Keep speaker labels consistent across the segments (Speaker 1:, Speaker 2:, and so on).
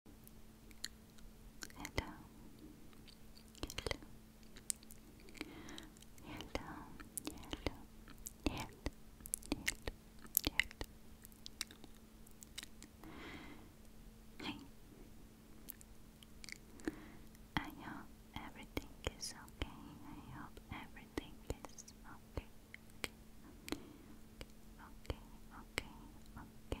Speaker 1: Hello. Hello. Hello. Hello. Hello. Hello. Hello. I hope everything is okay. I hope everything is Okay. Okay. Okay. Okay. okay.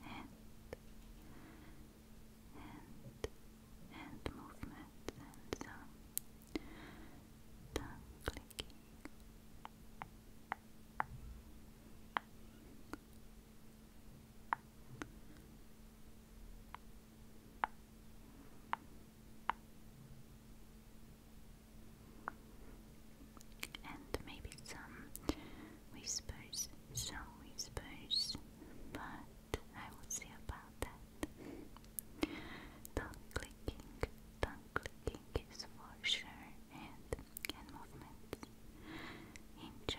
Speaker 1: hand, hand, hand movements and some tongue clicking. And maybe some whispers some whispers, but I will see about that. Tongue clicking, tongue clicking is for sure, and hand movements. enjoy.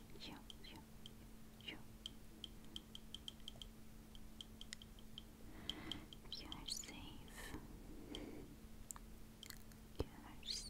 Speaker 2: you, you, you. You are safe. You are safe.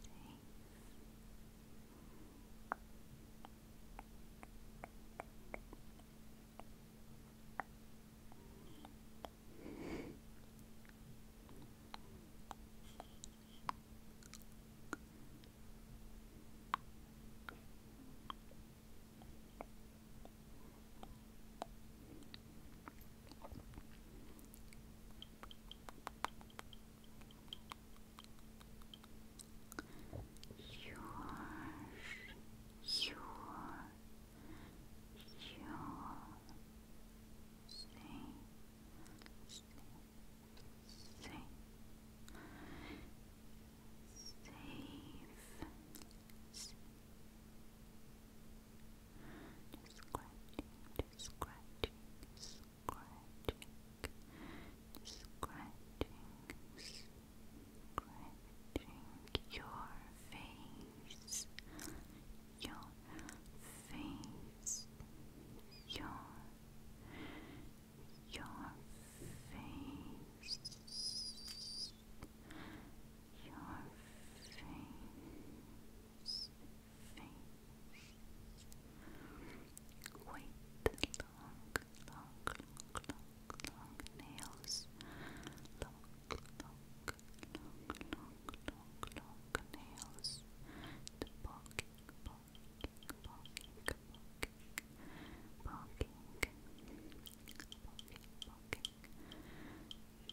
Speaker 2: Your, your, your, say, safe, safe. scratching, scratching, scratching, scratching, scratching your face, your face, your, your face, your face, face. Wait, long, long, long, long, long nails, long, long. Long, long, long, long nails, Barking, barking, barking, barking, barking, barking,
Speaker 1: barking, barking,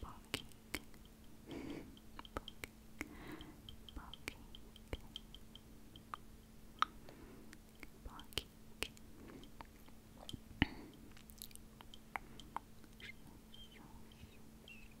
Speaker 1: barking, barking, barking. Shh, shh, shh, shh.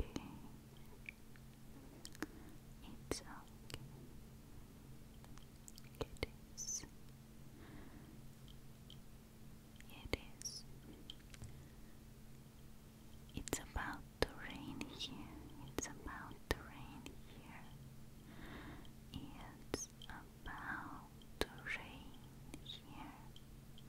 Speaker 1: okay. It's It is. It is. It's about to rain here. It's about to rain here. It's about to rain here.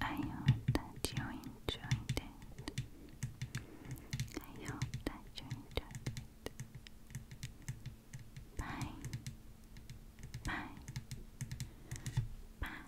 Speaker 1: I hope that you enjoyed it. I hope that you enjoyed it. Bye. Bye. Bye.